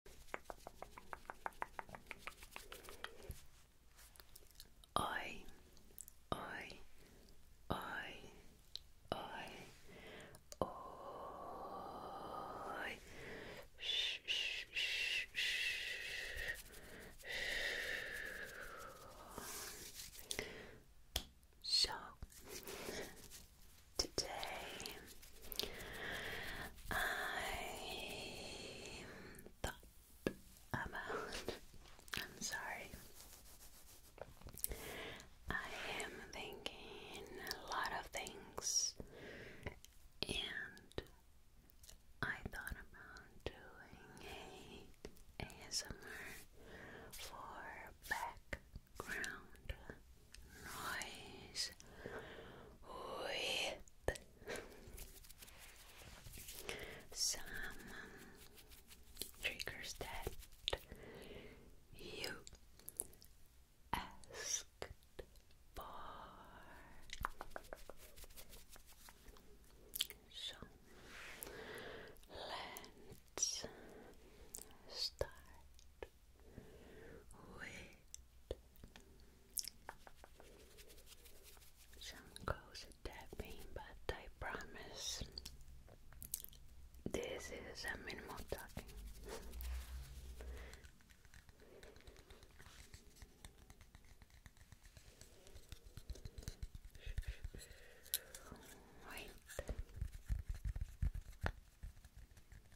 Oi, oi, oi, oi, oi. Shh, shh, shh, shh. So, today. I thought about. I'm sorry. I am thinking a lot of things, and I thought about doing a ASMR for background noise with some triggers that you asked for. So let's start with some close tapping, but I promise this is a minimal talking. Wait.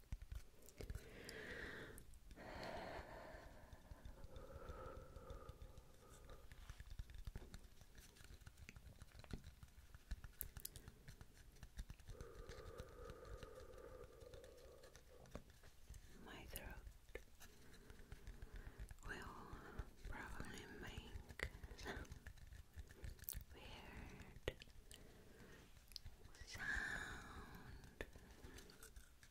My throat will probably make weird sound.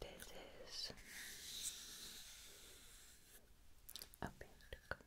This is a pentacle.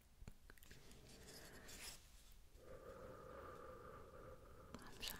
I'm sorry. Perfect. Perfect.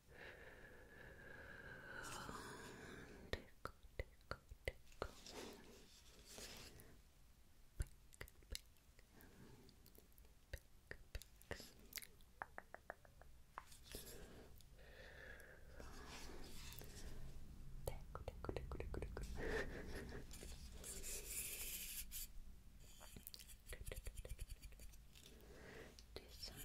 tickle, tickle, tickle. Pick, pick. Pick, pick. Tickle, tickle, tickle, tickle, tickle. This sound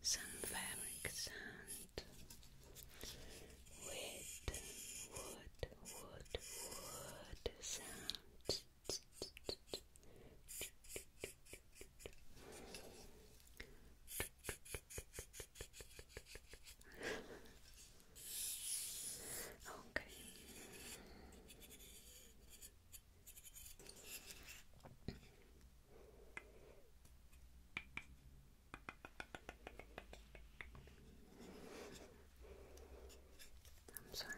Some fabric sand with wood, wood, wood sounds. okay. Okay. I'm sorry.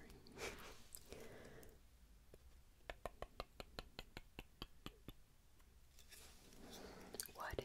what if?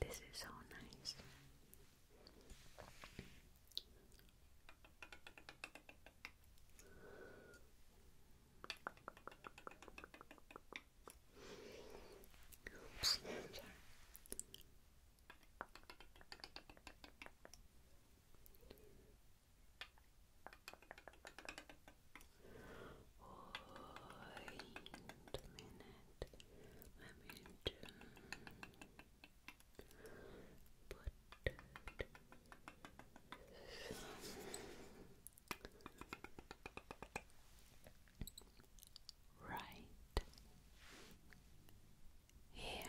This is so nice. Wait a minute. Let me do put some right here. Good.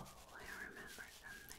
Oh, I remember something.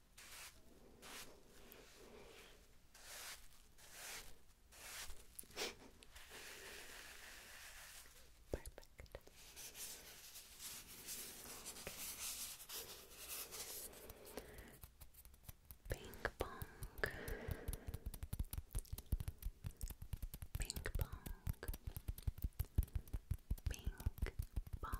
Perfect. Okay. Ping pong. Ping pong. Ping pong.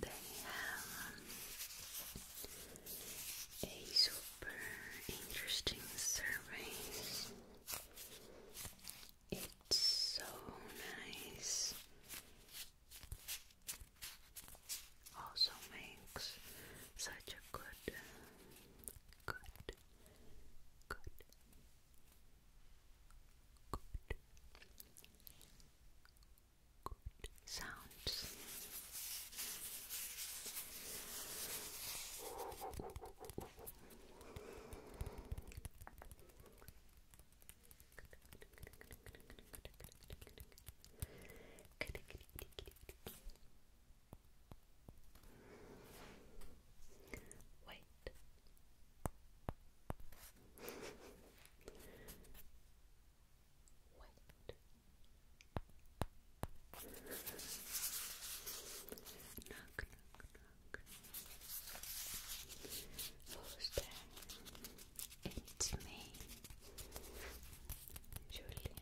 They have a super interesting survey. It's so nice. Also makes such a good Good. Good. Good. Good sounds. Wait. Wait. Knock, knock, It's me, Julie.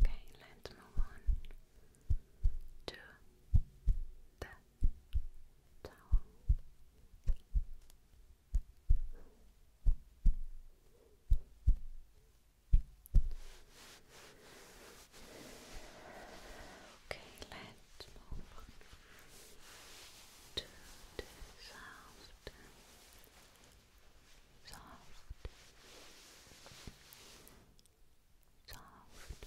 Okay, let's move on to the towel. Okay, let's move to soft, soft, soft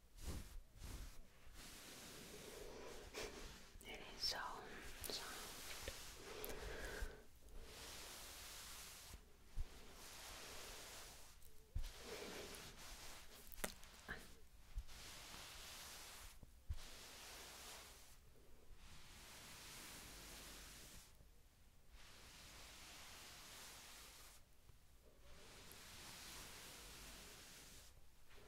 It is so soft. Good.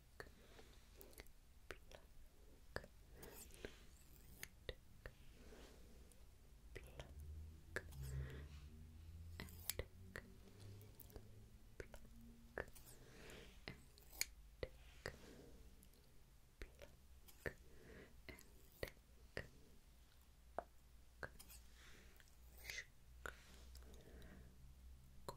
pluck, pluck, pluck, and Pluck and tick, pluck and tick, pluck, shook,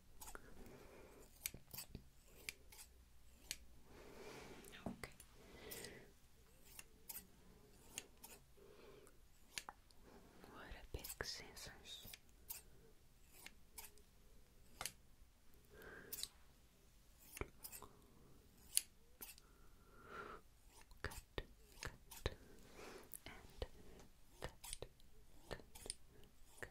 Okay. What a big scissors. Cut, cut, and cut, cut, cut,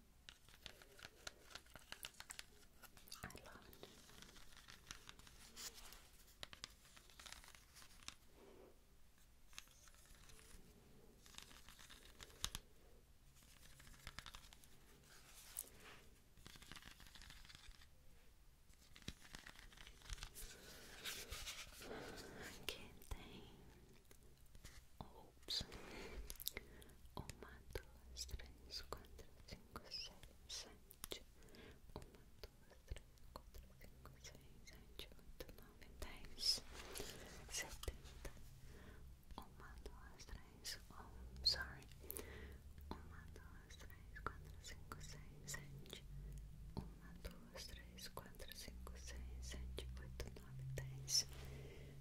I love it. Can Oops. Uma, duas, três, quatro, cinco, seis, sete. Uma, duas, três, quatro, cinco, seis, sete, oito, nove, dez. Setenta. Uma, duas, três. Oh, sorry. Uma, duas, três, quatro, cinco, seis, sete. Uma, duas, três, quatro, cinco, seis, sete, oito, nove, dez.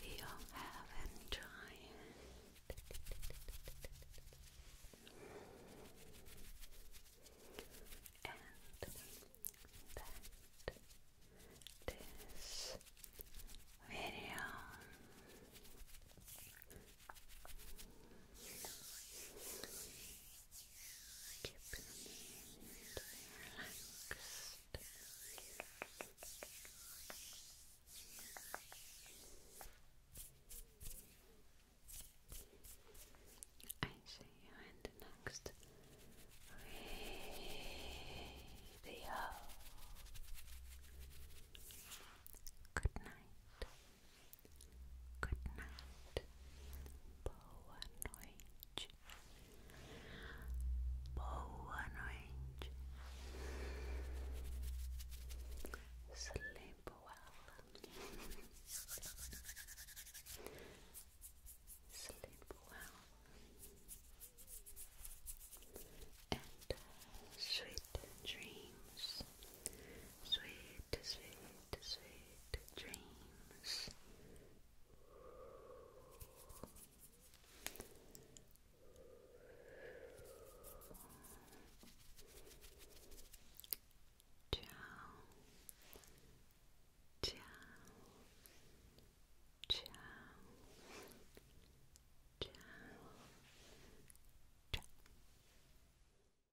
I hope you have enjoyed and that this video I see you in the next video. Good night. Good night. Boa noite. Boa noite. Sleep well. Sleep well. And uh, sweet dreams. Sweet, sweet, sweet dreams. Ciao, ciao, ciao, ciao, ciao.